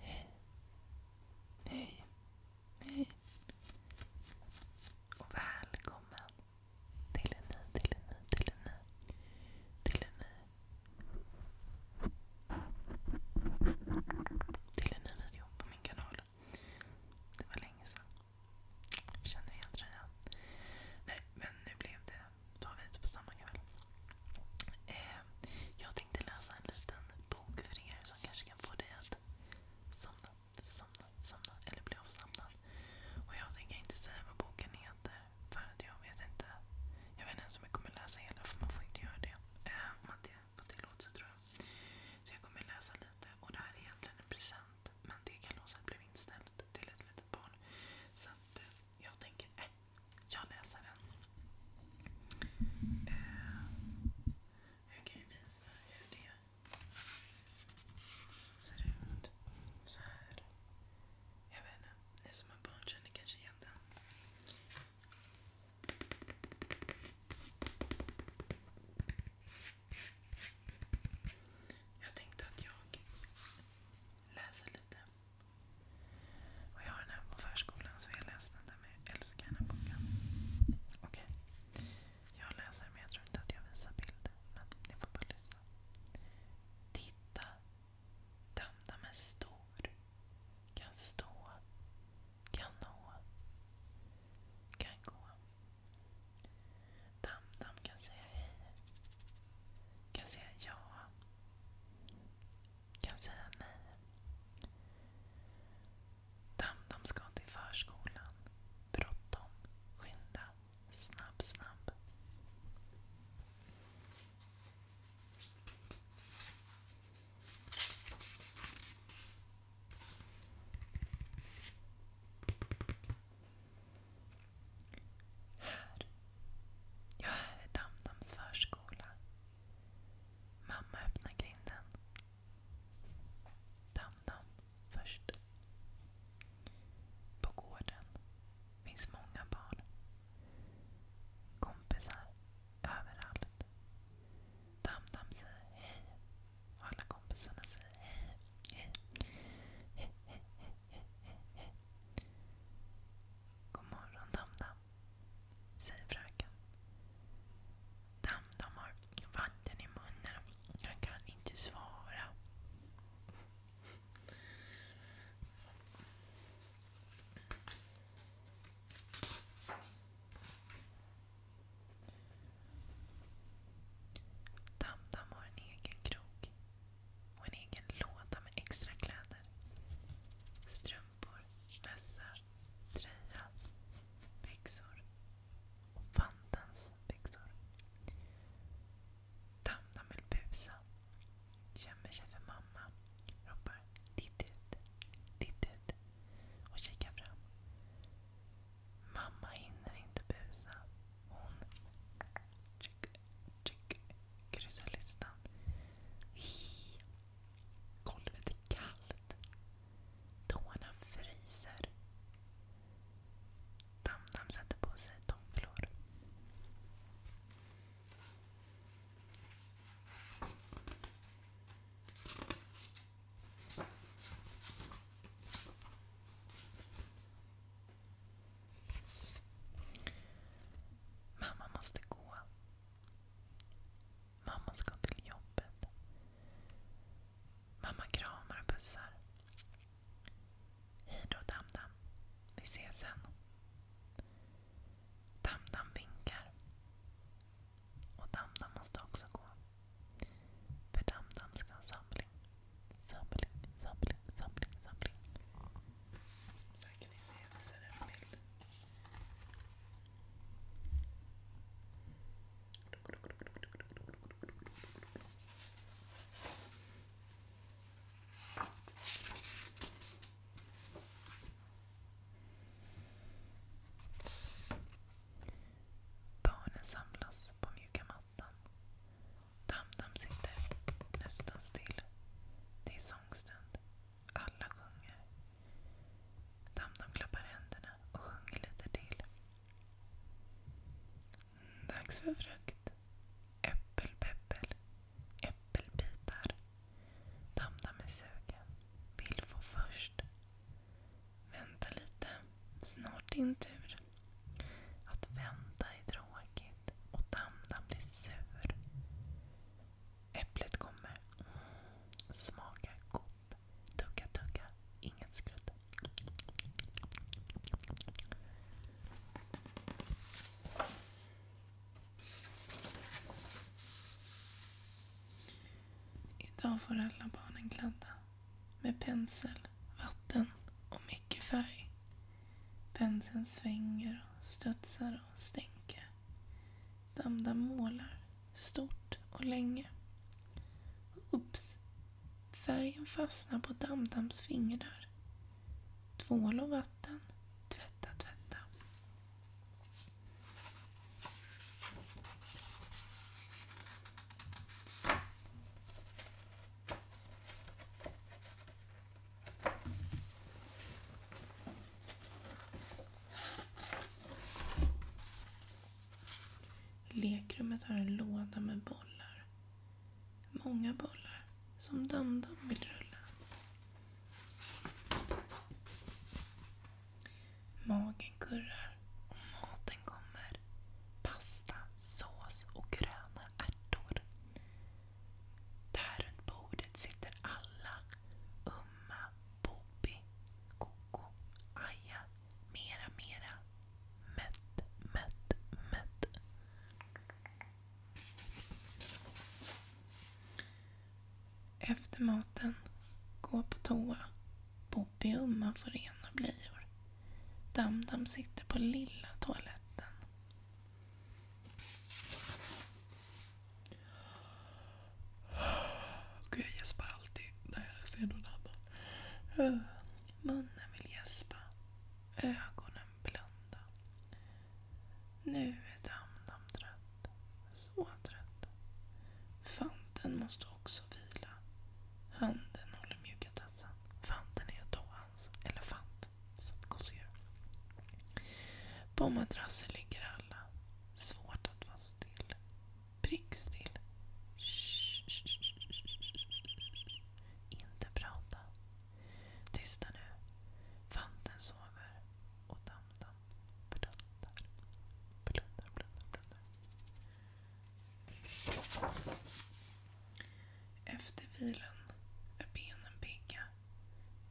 Hej. Hej. Hej. Och välkommen till en ny, till en ny, till en ny, till en ny. Till en ny video på min kanal. Det var länge sedan. Känner igen tröjan. Nej, men nu blev det ta vid på samma kväll. Eh, jag tänkte läsa en liten bok för er som kanske kan få dig att somna, somna, somna eller bli avsomnad. Och jag tänker inte säga vad boken heter för jag vet inte. Jag vet inte ens om jag kommer läsa hela för man får inte göra det. Eh, om man inte tror jag. Så jag kommer läsa lite och det här är egentligen en present hänt. Men det kalaset blev inställt till ett litet barn. Så att eh, jag tänker, eh, jag läser den. Eh, jag kan ju visa hur det ser ut. Så här. Jag vet inte, ni som har barn känner kanske igen den. Jag tänkte att jag läser lite. Och jag har den här på förskolan så jag läste den där men jag älskar den här boken. Okej. Okay. Jag läser men jag tror inte att jag visar bilder. Men ni får bara lyssna. Titta! Damdam är stor. Kan stå. Kan nå. Kan gå. Tamtam kan säga hej. Kan säga ja. Kan säga nej. Tamtam ska till förskolan. Bråttom. Skynda. Snabb, snabb. Här. Ja, här är Damdams förskola. Mamma öppnar grinden. Damdam först. På gården finns många barn. Kompisar överallt. Tamtam säger hej. Alla kompisarna säger hej. Hej. Hej, hej, hej, hej, hej, hej. God morgon Tamtam, säger fröken. Tamtam har vatten i munnen. Han kan inte svara. Tamtam har en egen krok och en egen låda med extra kläder. Strumpor, mössa, tröja, byxor och Fantans byxor. Tamtam vill busa. Gömmer sig för mamma. Ropar titt ut, titt ut och kikar fram. Mamma hinner inte busa. Hon kryssar listan. Golvet är kallt. Tårna fryser. Tamtam sätter på sig tofflor. Mamma måste gå. Mamma ska till jobbet. Mamma kramar och pussar. Hej då Damdam. Vi ses sen. Damdam vinkar. Och Damdam måste också gå. För Damdam ska ha samling. Samling, samling, samling, samling. Så Barnen samlas på mjuka mattan. Tamtam sitter nästan still. Det är sångstund. Alla sjunger. Tamtam klappar händerna och sjunger lite till. Dags för frukt. Äppelpeppel. Äppelbitar. Damda med sugen. Vill få först. Vänta lite. Snart din tur. Att vänta är tråkigt och damdan blir sur. Äpplet kommer. Smaka gott. Tugga, tugga. Inget skrutt. Idag får alla barnen kladda med pensel, vatten och mycket färg. Penseln svänger och studsar och stänker. Damda målar stort och länge. Oops! Färgen fastnar på Damdams fingrar Tvål och vatten. Tvätta, tvätta. Lekrummet har en låda med bollar. Många bollar som dam vill rulla. Magen kurrar och maten kommer. Pasta, sås och gröna ärtor. Där runt bordet sitter alla. Umma, Bobby, Koko, Aja, mera, mera. Mött, mött, mött. Efter maten, gå på toa. Bobby Umma får rena blöjor. Damdam sitter på lilla toaletten. Gud, jag gäspar alltid när jag ser någon annan. Munnen vill gäspa. Ögonen blunda. Nu är Damdam trött. Så trött. Fanten måste också vila. Handen håller mjuka tassen. Fanten är då hans elefant Så som gosedjur. På madrassen ligger alla. Svårt att vara still. Prickstill. Shh, shh, shh, shh, shh. Inte prata. Tysta nu. Fanten sover och Tamtam blundar. Blundar, blundar, blundar. Efter vilan är benen pigga.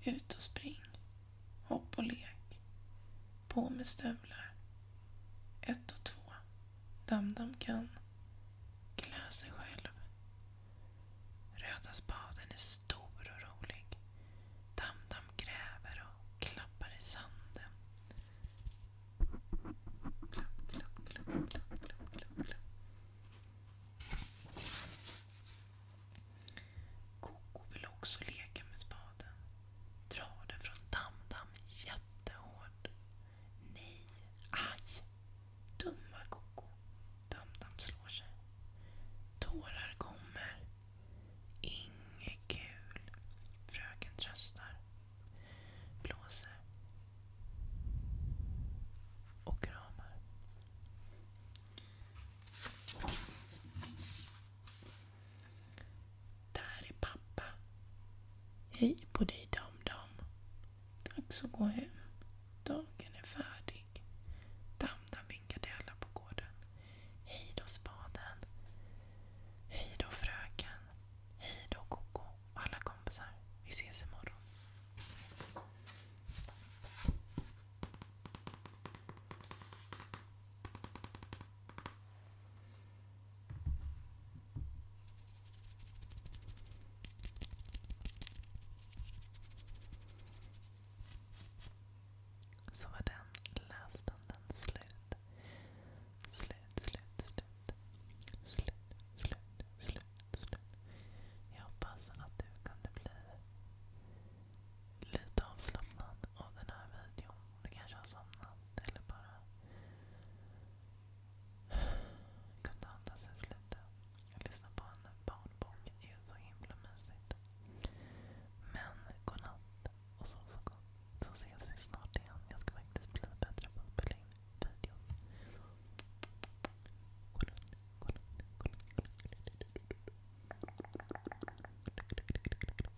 Ut och spring. Hopp och lek. På med stövlar. Ett och två. Damdam kan klä sig själv. Röda spaden är stor och rolig. Damdam gräver och klappar i sanden. Klapp, klapp, klapp, klapp, klapp, klapp, klapp. Koko vill också leka med spaden. Drar den från Damdam jättehårt. Nej, aj! Dumma Koko. Tamtam slår sig. Tårar kommer. Inget kul. Fröken tröstar. Blåser. Och kramar. Där är pappa. Hej på dig Dam-Dam. Dags att gå hem. Dagen är färdig. Dam-Dam vinkade alla på gården. Hej då Spaden. Hej då Fröken. Hej då Koko och alla kompisar. Vi ses imorgon. Så var den lässtunden slut. Slut, slut, slut. Slut, slut, slut, slut. Jag hoppas att du kunde bli lite avslappnad av den här videon. Du kanske har somnat eller bara jag kunde andas ut lite. Jag lyssnade på henne. Barnboken är ju så himla mysigt. Men godnatt och sov så gott. Så ses vi snart igen. Jag ska faktiskt bli bättre på att spela in videos. Godnatt, godnatt, godnatt. godnatt.